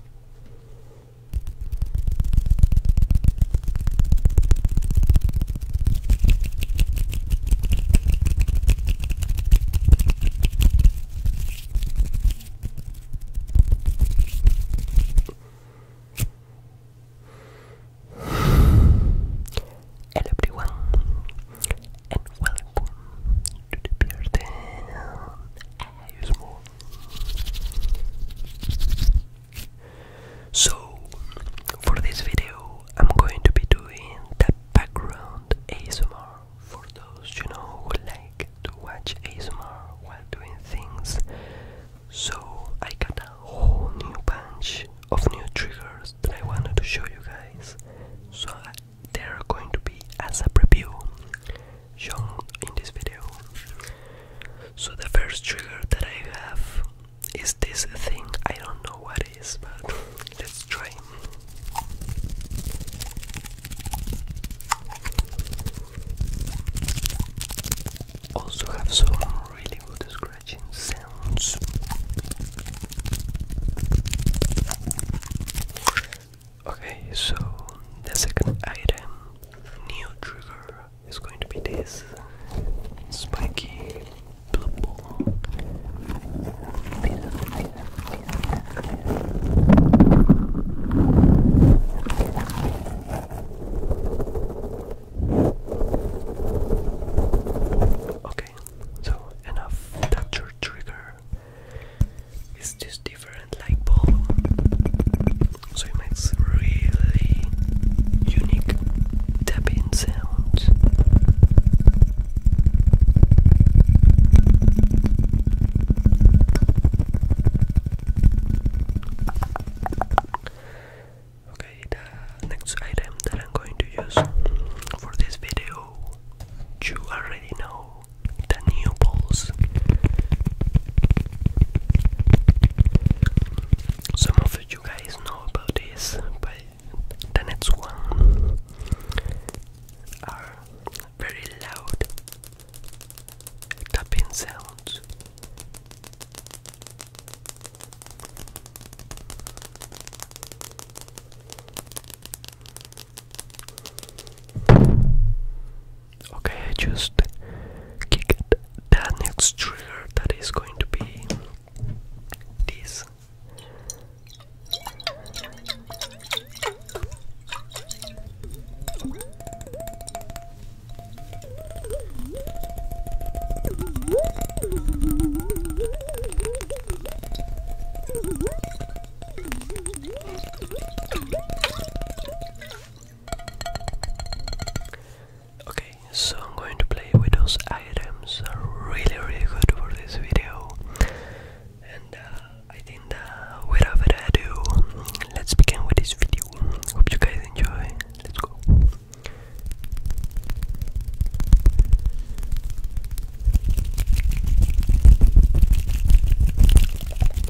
Hello everyone and welcome to the Bearden so, for this video, I'm going to be doing the background ASMR for those you know who like to watch ASMR while doing things. So, I got a whole new bunch of new triggers that I wanted to show you guys. So, uh, they're going to be as a preview shown in this video. So the first trigger that I have is this thing. I don't know what is, but let's try. Also have some really good scratching sounds. Okay, so the second item, new trigger, is going to be this spiky blue Okay, so enough that trigger it's just different like ball so it makes really unique tapping sound Okay, the next item that I'm going to use for this video, you already know the new balls. Some of you guys know about this, but the next one are very loud tapping sounds. Okay, I just kicked that next trigger that is going to be this. Okay, so I'm going to play with those items. really, really good for this video. And uh, I think whatever I do, let's begin with this video. Hope you guys enjoy. Let's go.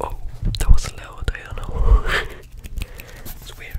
Oh, that was loud, I don't know. it's weird.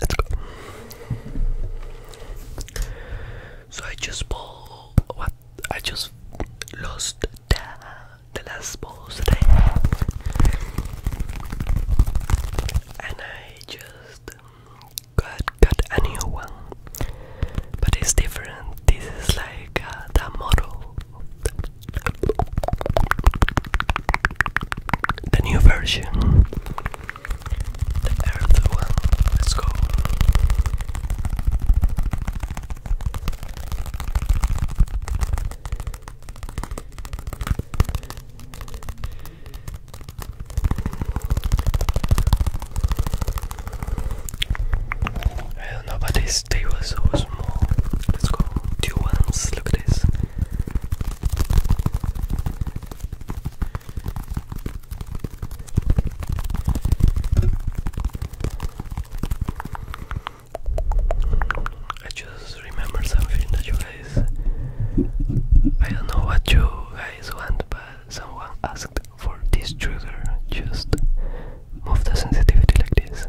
Let's go. So I just bought I just lost the, last balls that I had, and I just got got a new one. But it's different. This is like uh, the model the new version. The earth one. Let's go. I don't know, about this. They were so small. Let's go. Two ones. Look at this. I just remember something that you guys. I don't know what you guys want, but someone asked for this trigger. Just move the sensitivity like this.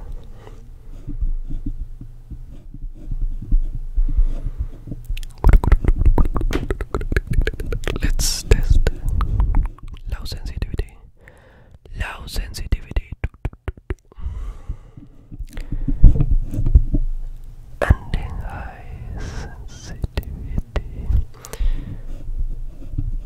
Let's test low sensitivity. Low sensitivity and high sensitivity.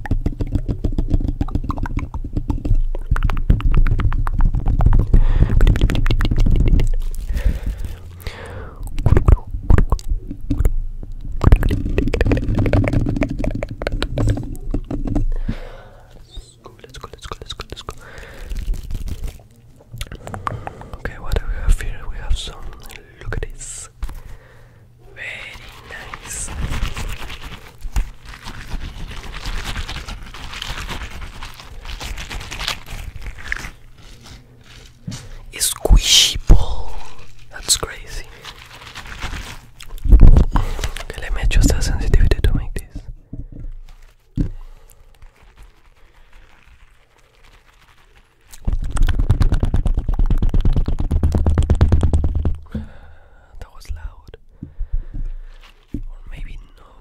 Let's go, let's go, let's go, let's go. Okay, what do we have here? We have some. Look at this. Very nice. Squishy ball. That's crazy. Okay, let me adjust sensitivity to make this that was loud. Or maybe no.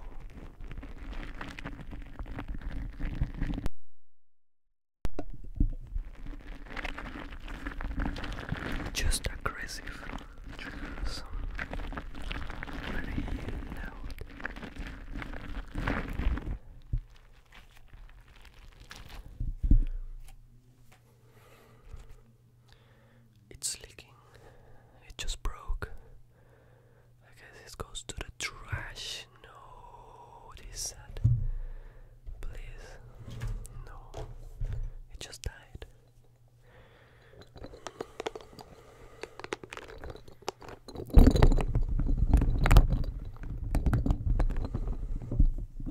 Just aggressive Very loud. It's leaking. It just broke. I guess this goes to the trash. No, this sad. Please, no. It just died.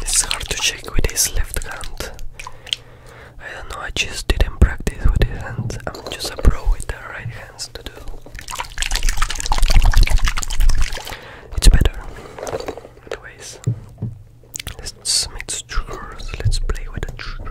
It's hard to check with his left hand I don't know, I just didn't practice with these hands. I'm just a pro with the right hands to do. It's better. Anyways, let's make triggers. Let's play with the trigger.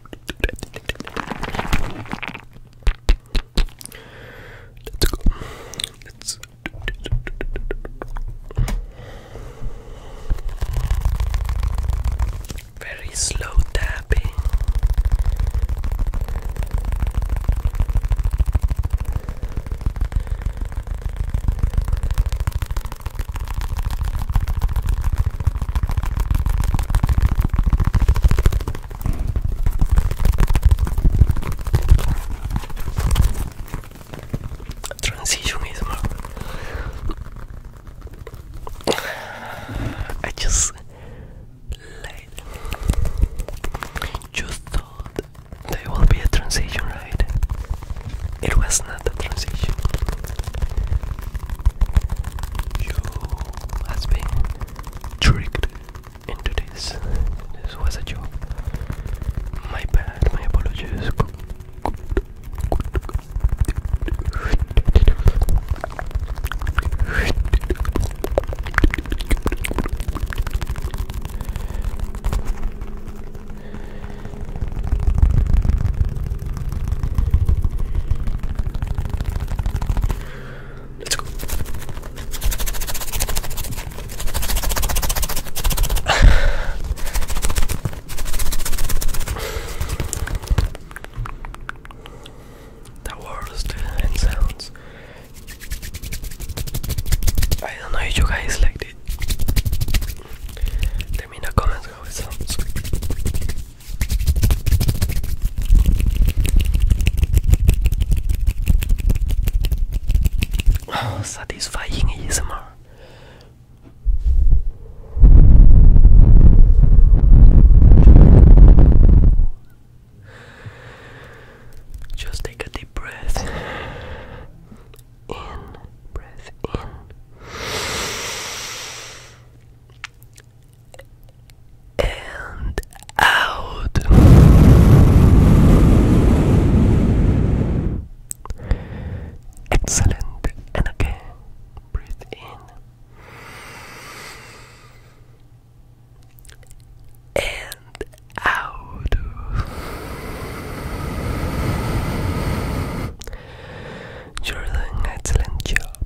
Let's go. Let's very slow tapping. Transitionism. I just just thought there will be a transition, right? It was not a transition you has been tricked into this. This was a joke. My bad, my apologies. Let's go. the worst sounds. I don't know if you guys liked it. Let me in the comments how it sounds. Oh, satisfying ASMR. Just take a deep breath in, breath in, and out. Excellent. And again, breathe in and out. you an excellent job.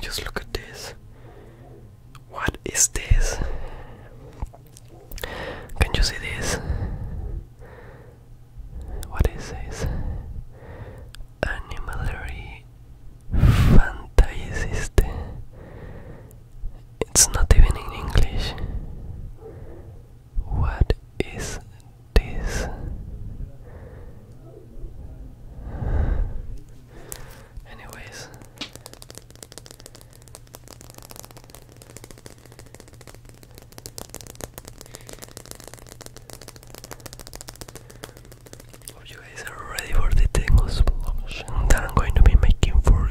Just look at this. What is this? Can you see this? What is this? Animalary fantasist. It's not even in English. What is this anyways Hope you guys are ready for the tingle solution that I'm going to be making for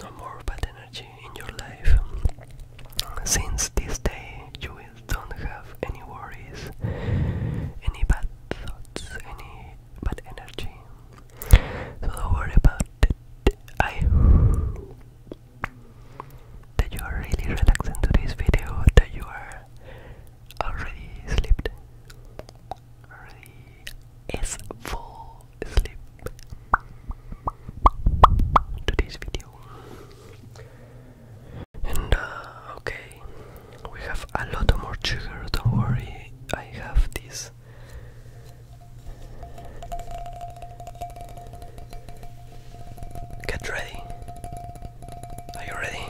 No more bad energy in your life. Since this day, you will don't have any worries, any bad thoughts, any bad energy. don't worry about it. I hope that you are really relaxing to this video, that you are already slept, already is full sleep to this video. And uh, okay, we have a lot more sugar, don't worry, I have this. Get ready. Are you ready?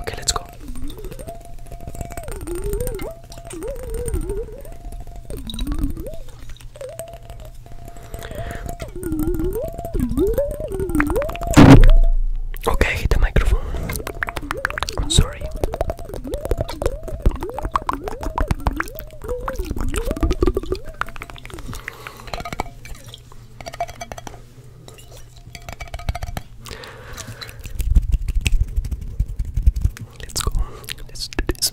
Okay, let's go. Okay, the microphone. sorry. Let's go. Let's do this.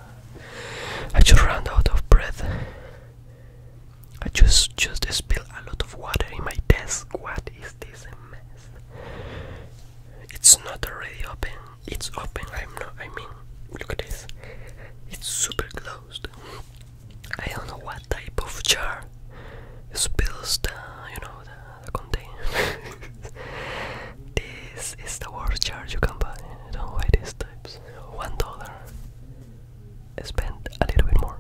I just ran out of breath. I just just spilled a lot of water in my desk. What is this mess? It's not already open. It's open. I'm not. I mean, look at this. It's super closed. I don't know what type of jar spills the you know the, the container. This is the worst charge you can buy. Don't buy these types. One dollar. Spend a little bit more.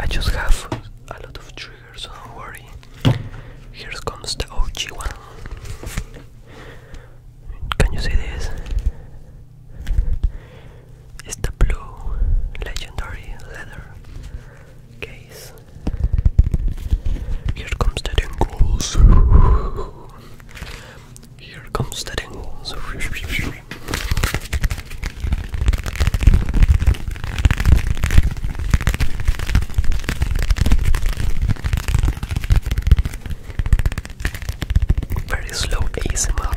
I just have a lot of triggers, so don't worry. Here comes the OG one. Can you see this? It's the blue legendary leather case. Here comes the dingles. Here comes the dingles. Very slow ASMR.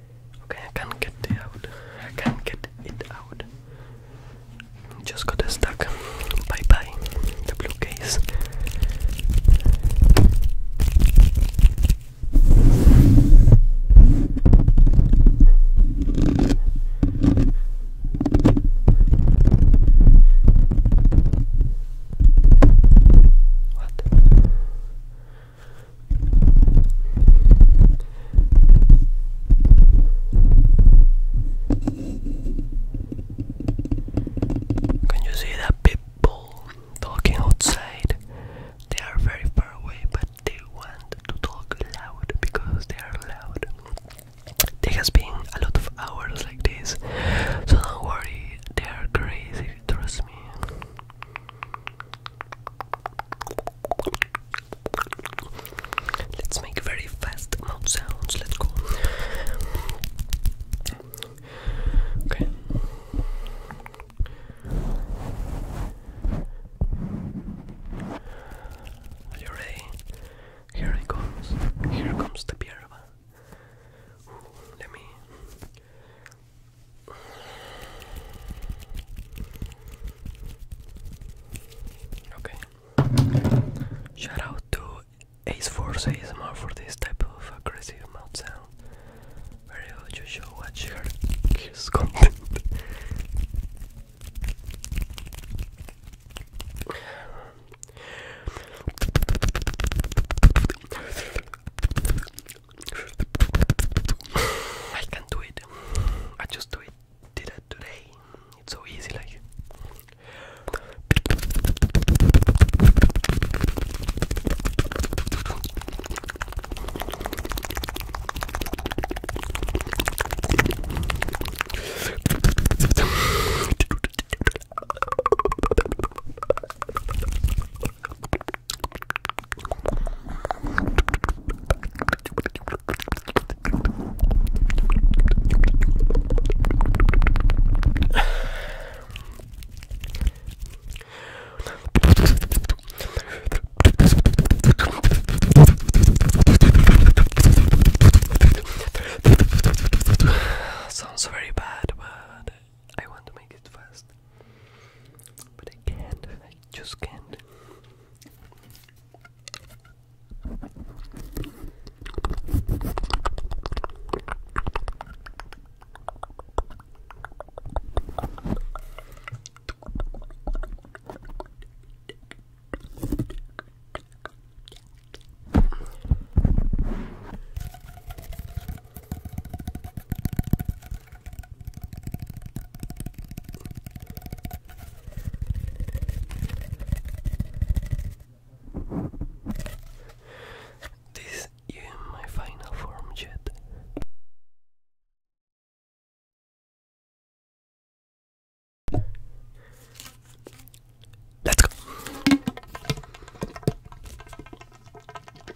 Okay, I can't get it out. I can't get it out. Just got stuck. Bye bye. The blue case. What? Can you see that people talking outside? They are very far away, but they want to talk loud because they are loud. There has been a lot of hours like this, so don't worry, they are crazy, trust me. Let's make very fast mouth sounds. Let's go. Okay. Are you ready? Here it comes. Here comes the pierva. Let me Okay. Shout out to Ace Force ASMR for this type of aggressive mouth sound. Very good, you should watch her I can do it. I just do it. Did it today. It's so easy, like. Sounds very bad, but I want to make it fast. But I can't, I just can't. This is my final form yet. Let's go.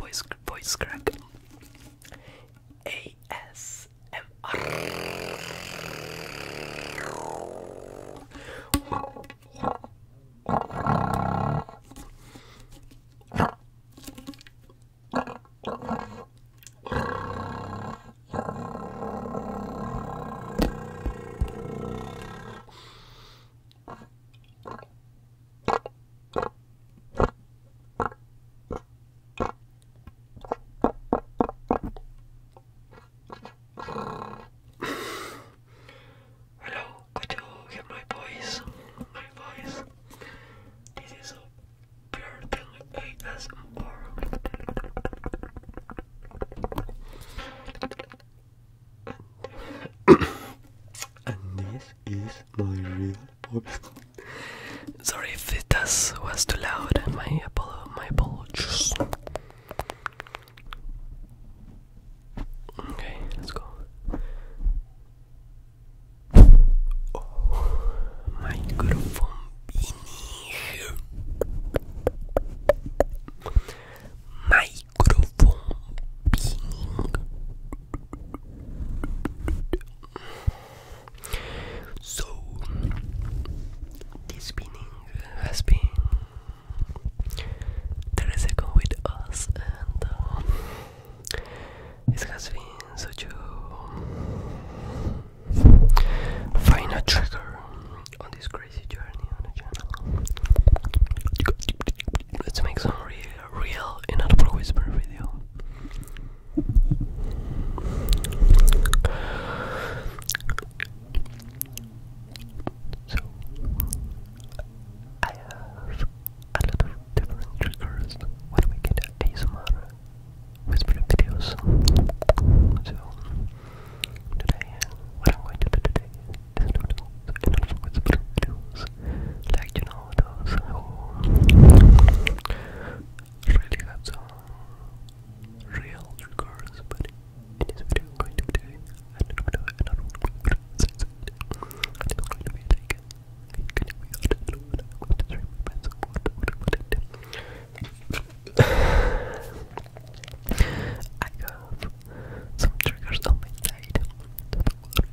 voice voice crack ASMR Hello, I do hear my voice. My voice. This is a pure thing ASMR. And and this is my real voice. Sorry if it does, was too loud. My apolo my apologies. Okay, let's go. Oh, microphone in Microphone being so, this spinning has been Tereseco with us, and uh, it has been such a trigger on this crazy journey on the channel. Let's make some real real inaudible whisper video. So I have a lot of different triggers when we get ASMR whisper videos. So today, what I'm going to do today is do inaudible whisper videos like you know those who really have some real records but in this video I'm going to be doing I don't know I don't going to be like it can be I don't know what I'm going to try my best what, what, what it I have some triggers on my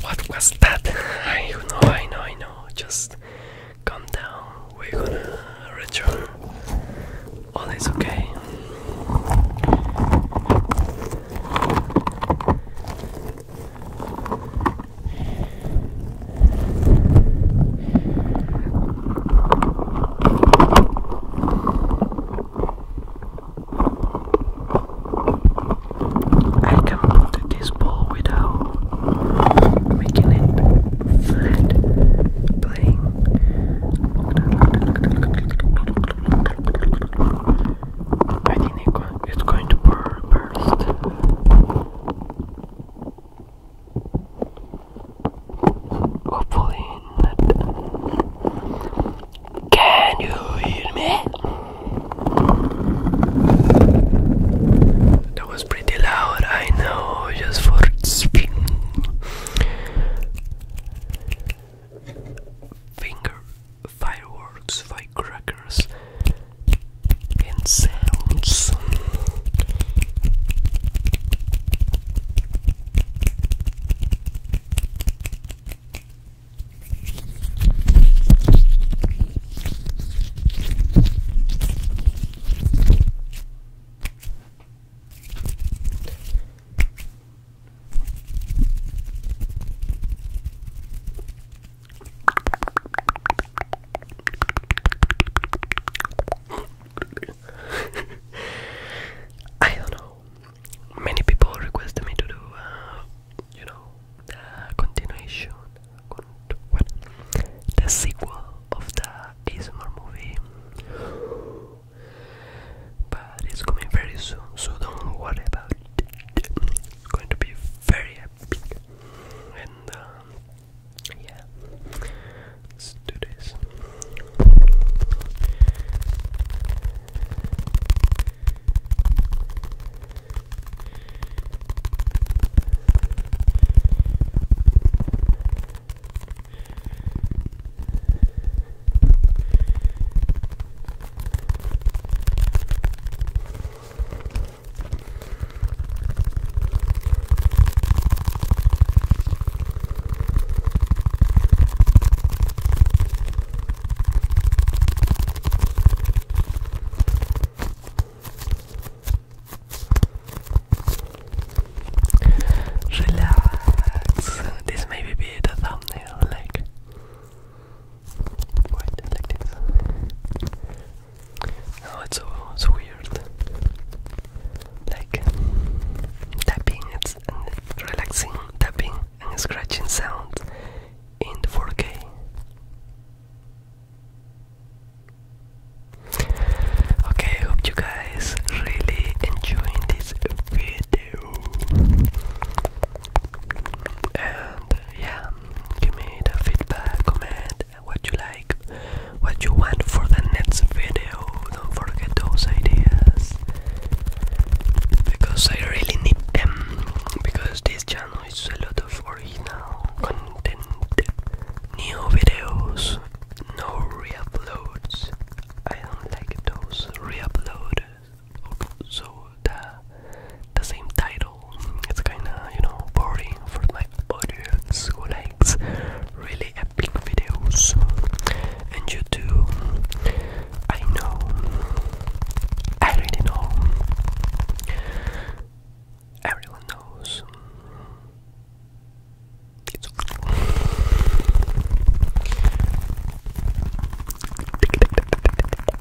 what was that? I know, I know, I know. Just calm down. We're gonna return. All is okay. I can put this ball without making it flat I think it's going to burst. Hopefully Can you hear me? That was pretty loud, I know, just for spin. Finger fireworks, firecrackers, and sounds. I don't know. Many people requested me to do, uh, you know, the continuation, con the sequel of the ASMR movie. But it's coming very soon, so don't worry about It's going to be very peek. And um, yeah, let's do this. Okay. Relax. This may be the thumbnail, like, what, like this. No, oh, it's so it's weird. Like tapping, it's relaxing tapping and scratching sound in the 4K. Okay, hope you guys really enjoying this video. And yeah, give me the feedback, comment, what you like, what you want for the next video. Don't forget those ideas because I really need them. Because this channel is a lot of original content, new videos, no reuploads. I don't like those reuploads. So the the same title. It's kind of you know boring for my audience who likes really epic videos. And you too. I know. I really know. Everyone knows.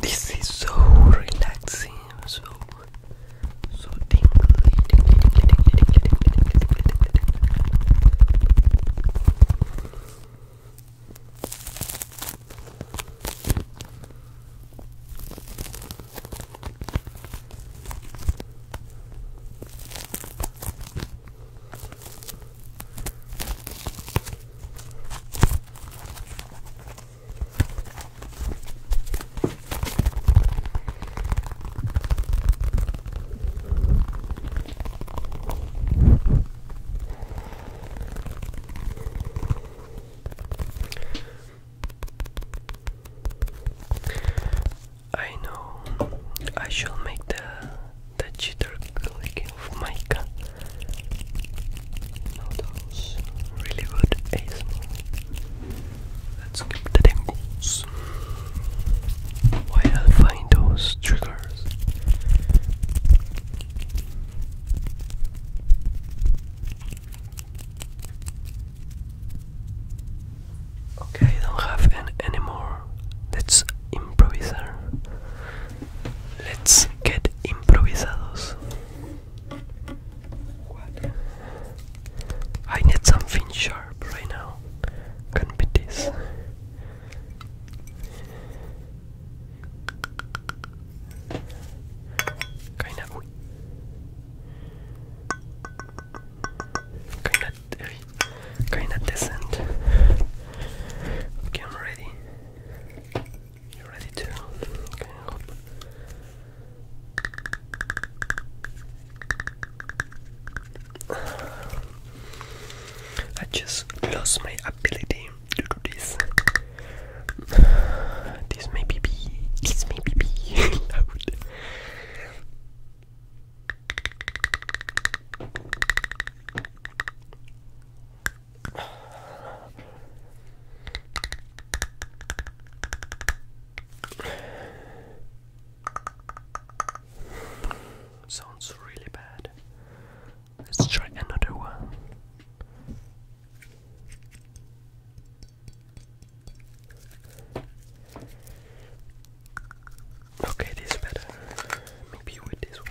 This is so relaxing, so so tingly, I know I shall make the the jitter clicking of my cat. Now really good Let's keep the tingles while I find those triggers. Okay, don't have an anymore. That's improviser. Let's get improvisados. I need something sharp right now. Can be this. Kinda. Kinda. Kinda decent. Okay, I'm ready. You ready to? Okay, I just lost my ability to do this. This may be, this may be Sounds really bad. Let's try another one. Okay, this better. Maybe with this one.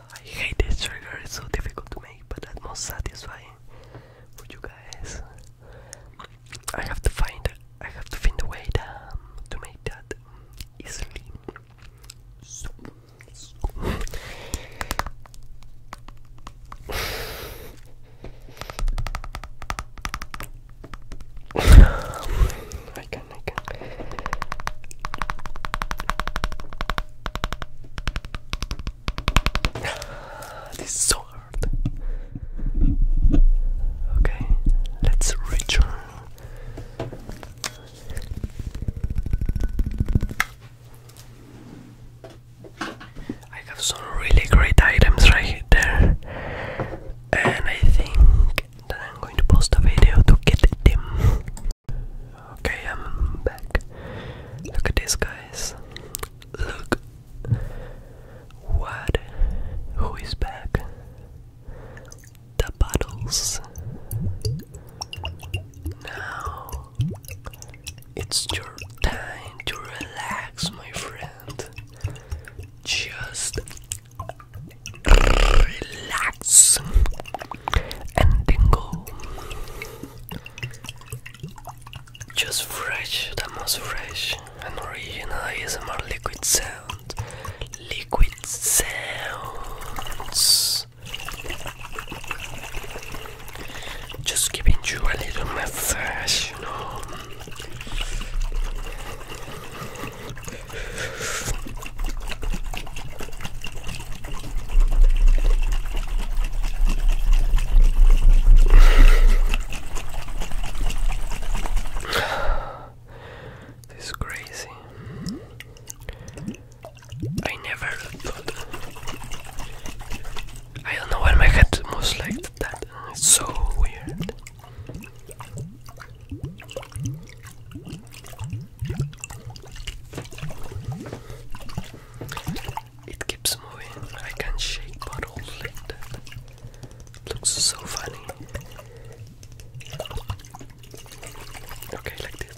I hate this trigger, it's so difficult to make, but that's most satisfying for you guys. I have to find I have to find a way to, um, to make that easily. So, so. this is so hard. Okay, let's return. I have some really great items right there, and I think that I'm going to post a video to get them. Okay, I'm back. Look at this, guys. Look. What? Who is back? The bottles. Now it's your time to relax, my friend. Just relax and tingle. Just fresh, the most fresh and original is ASMR liquid sound. Liquid sounds. Just giving you a little massage, you know. This is crazy. I never thought. I don't know where my head moves like that. It's so weird. It keeps moving. I can shake bottles like that. It looks so funny. Okay, like this.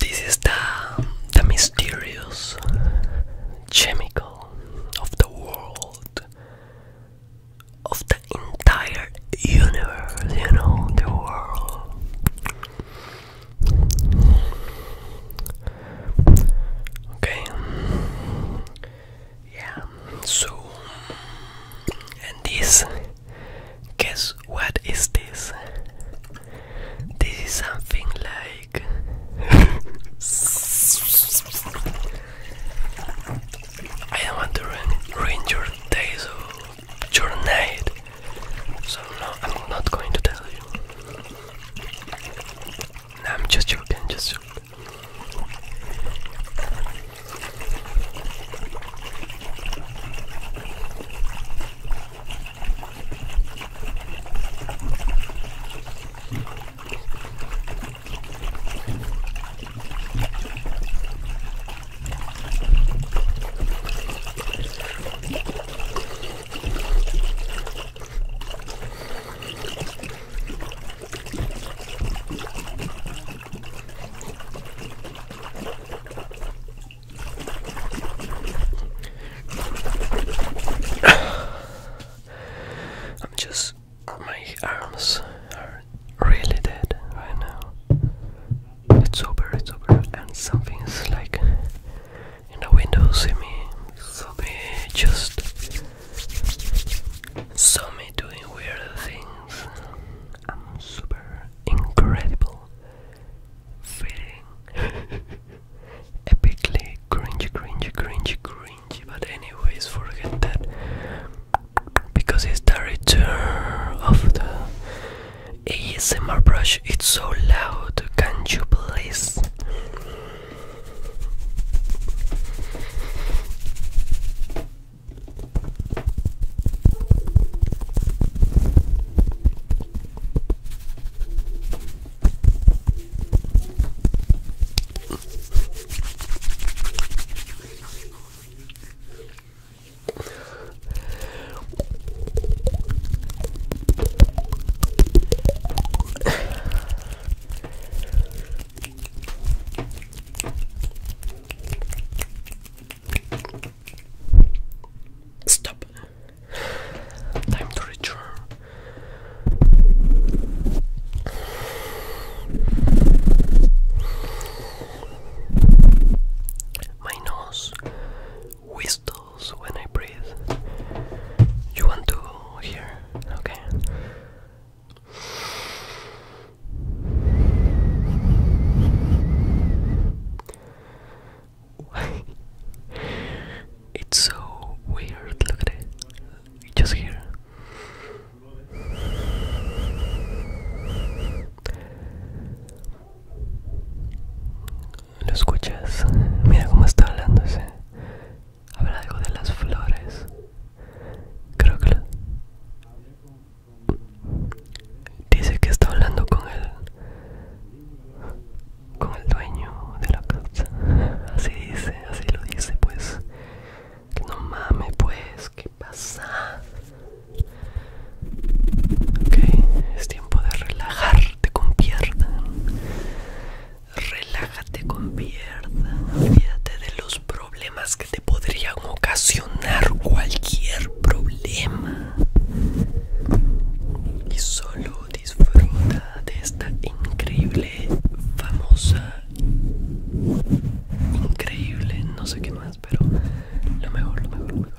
This is the the mysterious chemical of the world of the entire universe, you know, the world. Okay. Yeah. So, and this, guess what is this? This is something like. I don't want to you your night. So no, I'm not going to tell you. I'm just joking, just joking. I'm just, my arms are really dead right now. It's over, it's over, and something's like in the window, see me, saw me just saw me doing weird things. I'm super incredible, feeling epically cringy, cringy, cringy, cringy. But anyways, forget that because it's the return of the ASMR brush, it's so loud. Can you please? Stop. Time to return. My nose whistles when I breathe. You want to hear? Okay. It's so weird. Look at it. Just here. ¿Lo escuchas? Mira cómo está hablando ese. Habla algo de las flores. Creo que lo... Dice que está hablando con el... Con el dueño de la casa. Así dice, así lo dice pues. Que no mames pues, ¿qué pasa? Ok, es tiempo de relajarte con pierna. Relájate con pierda. Olvídate de los problemas que te podrían ocasionar cualquier problema. Y solo disfruta de esta increíble, famosa, increíble, no sé qué más, pero lo mejor, lo mejor, lo mejor.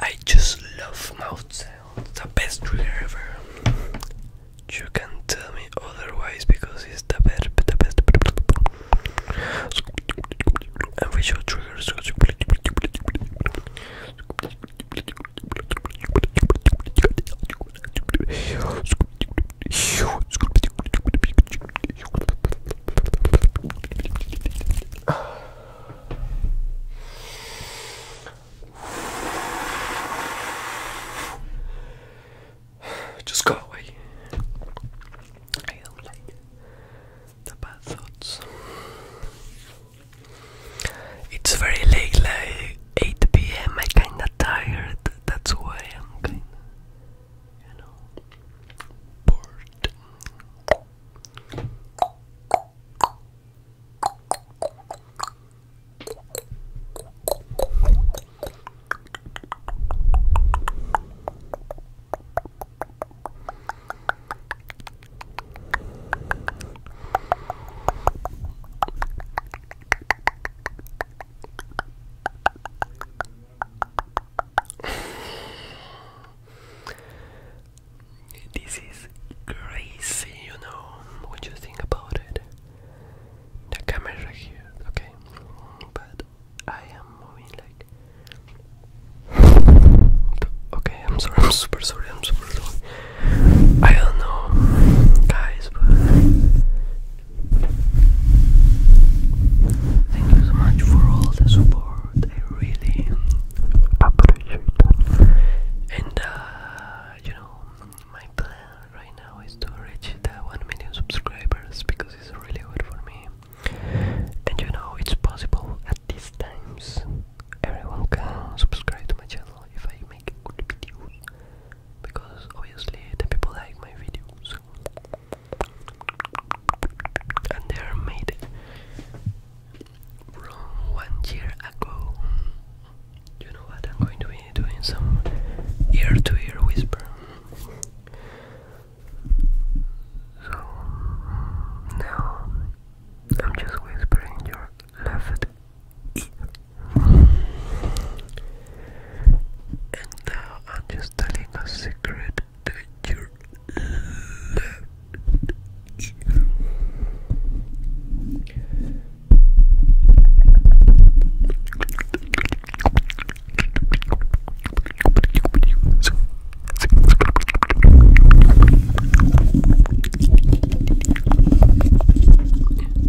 I just love mouth sounds, the best trigger ever. You can tell me otherwise because it's the best, the best. And visual triggers. Just go away. the bad thoughts. It's very late, like 8 pm. i kinda tired. That's why I'm you know, bored this is crazy, you know. What you think about it? The camera here, okay. But I am moving like. Okay, I'm sorry. I'm super sorry. I'm super sorry. I don't know, guys, but Thank you so much for all the support. I really appreciate it. And uh, you know, my plan right now is to reach the one million subscribers because it's really good for me. And you know, it's possible at these times. Everyone can subscribe to my channel if I make good videos because obviously the people like my videos and they are made from one year ago. You know what? I'm going to be doing some ear to ear whisper. So now I'm just whispering your left ear. And now I'm just telling a secret that you love.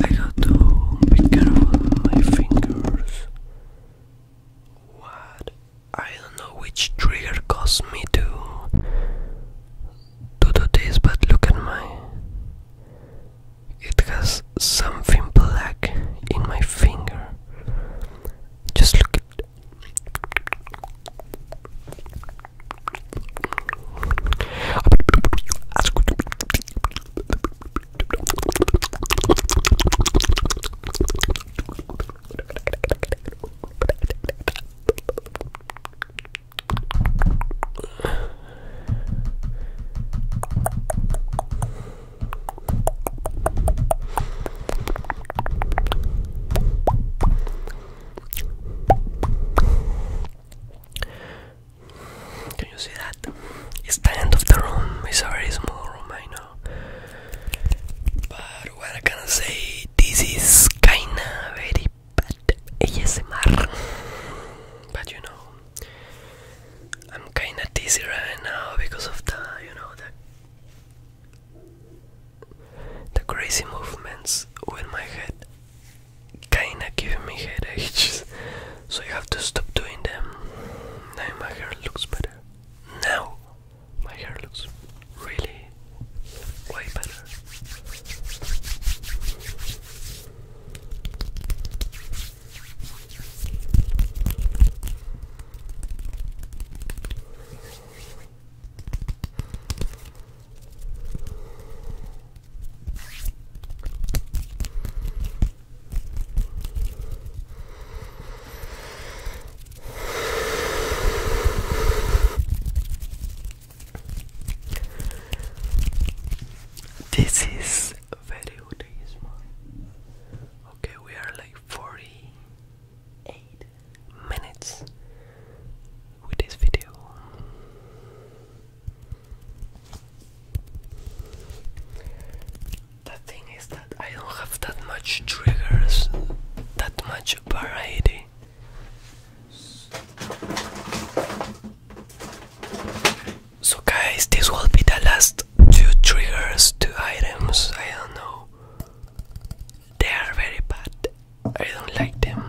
I got to be careful my fingers. What are don't know which trigger caused me to to do this, but look at my. It has something black in my finger. Just look at. Can you see that? It's the end of the room. It's a very small room, I know what I'm gonna say, this is kinda very bad ASMR, but you know, I'm kinda dizzy right now because of the, you know, the, the crazy movements with my head kinda giving me headaches, so you have to stop doing them, now my hair looks better. Now my hair looks really way better. This is very good Okay, we are like 48 minutes with this video. The thing is that I don't have that much triggers, that much variety. So guys, this will be the last two triggers, two items, I don't know. They are very bad. I don't like them.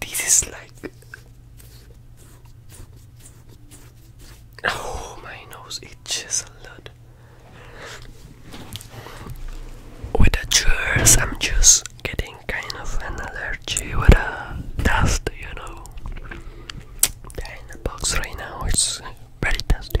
This is like Oh my nose itches a lot with the chairs I'm just getting kind of an allergy with the dust you know in the box right now it's very dusty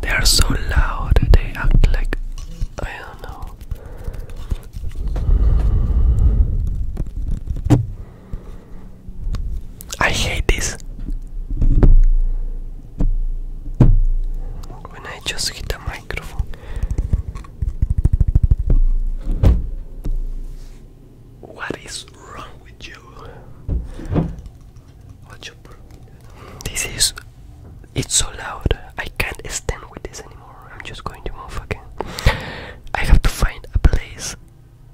They are so loud, they act like I don't know. I hate this. When I just hit the microphone. What is wrong with you? This is. It's so loud. I can't stand with this anymore. I'm just going to move again. I have to find a place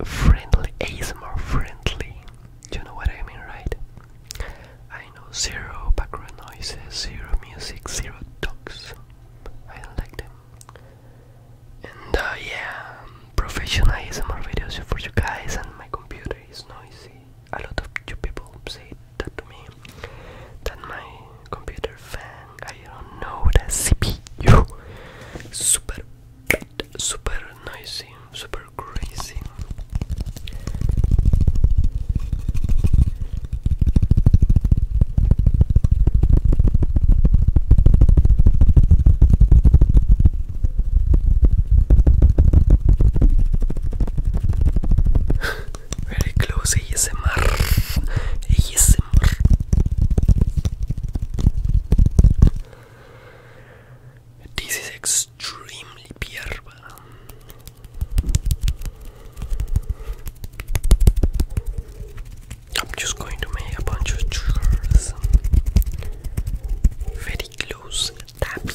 friendly, more friendly. you know what I mean, right? I know zero background noises, zero music, zero talks. I don't like them. And uh, yeah, professional ASMR videos for you guys and my computer it's noisy. A lot of people say that to me. That my computer fan, I don't know, the CPU, super bad, super noisy, super crazy. Very close ASMR. ASMR. This is extremely pierba. Um, I'm just going to make a bunch of triggers very close tapping.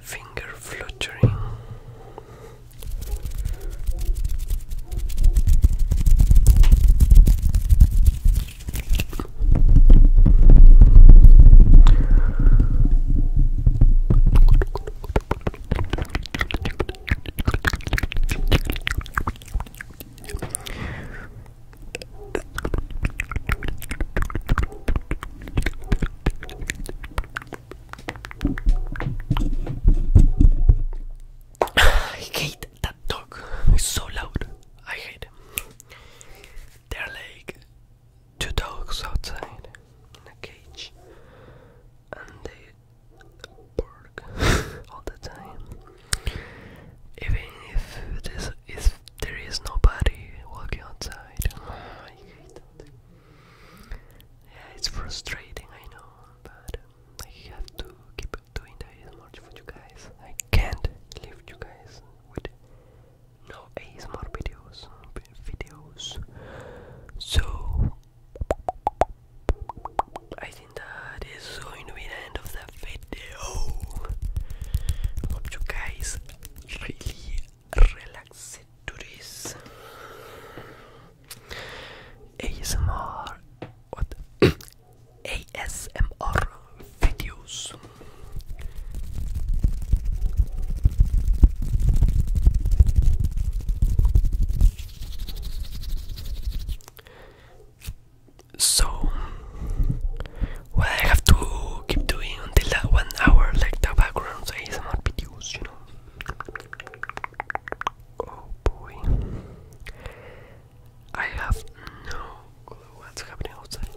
Finger fluttering. I hate that dog. It's so loud. I hate it. There are like two dogs outside in a cage and they bark all the time. Even if it is, if there is nobody walking outside, Yeah, it's frustrating, I know, but um, I have to keep doing the much for you guys. I can't leave you guys with no ASMR videos videos. So I think that is going to be the end of the video. Hope you guys really relaxed to this ASMR what ASMR videos. So, what I have to keep doing until that one hour, like the background not produced, you know. Oh boy, I have no clue what's happening outside.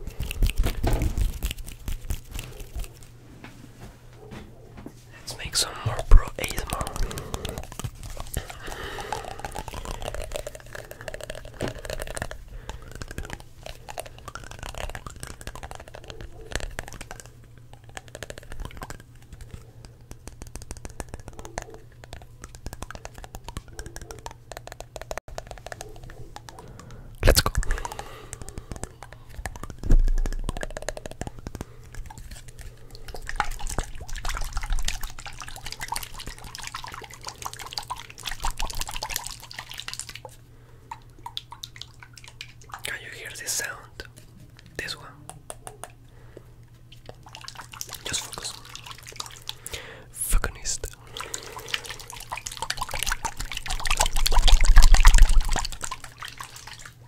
Let's make some more pro ASMR. Let's go. Can you hear this sound? This one. Just focus. Fuckinist.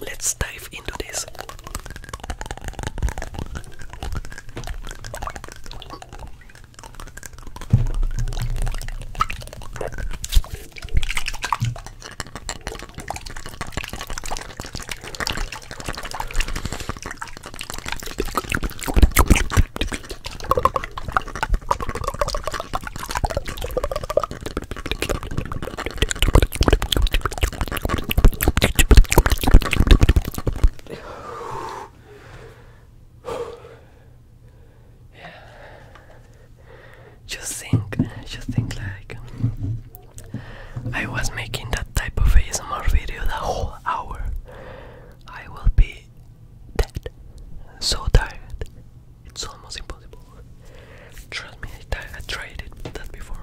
Let's dive into this. yeah. Just think, just think like I was making that type of ASMR video the whole hour. I will be dead, so tired. It's almost impossible. Trust me, I, tried it that before.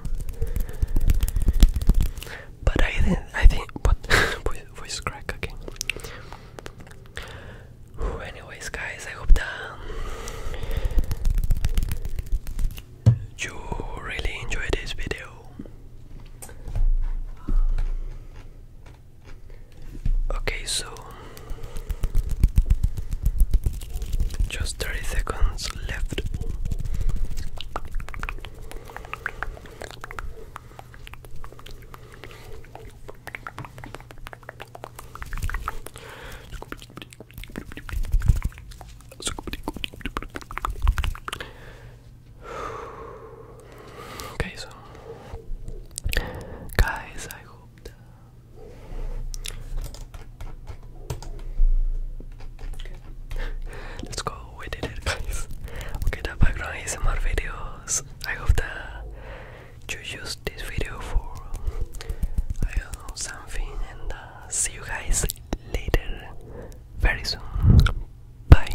But I didn't. I think. But voice crack. Okay. anyways, guys, I hope that you really enjoyed this video. Okay, so just 30 seconds left. Okay, so guys, I hoped. Okay. Let's go, we did it guys. Okay, the background is more videos. I hope that you used this video for I don't know something and uh, see you guys later very soon. Bye.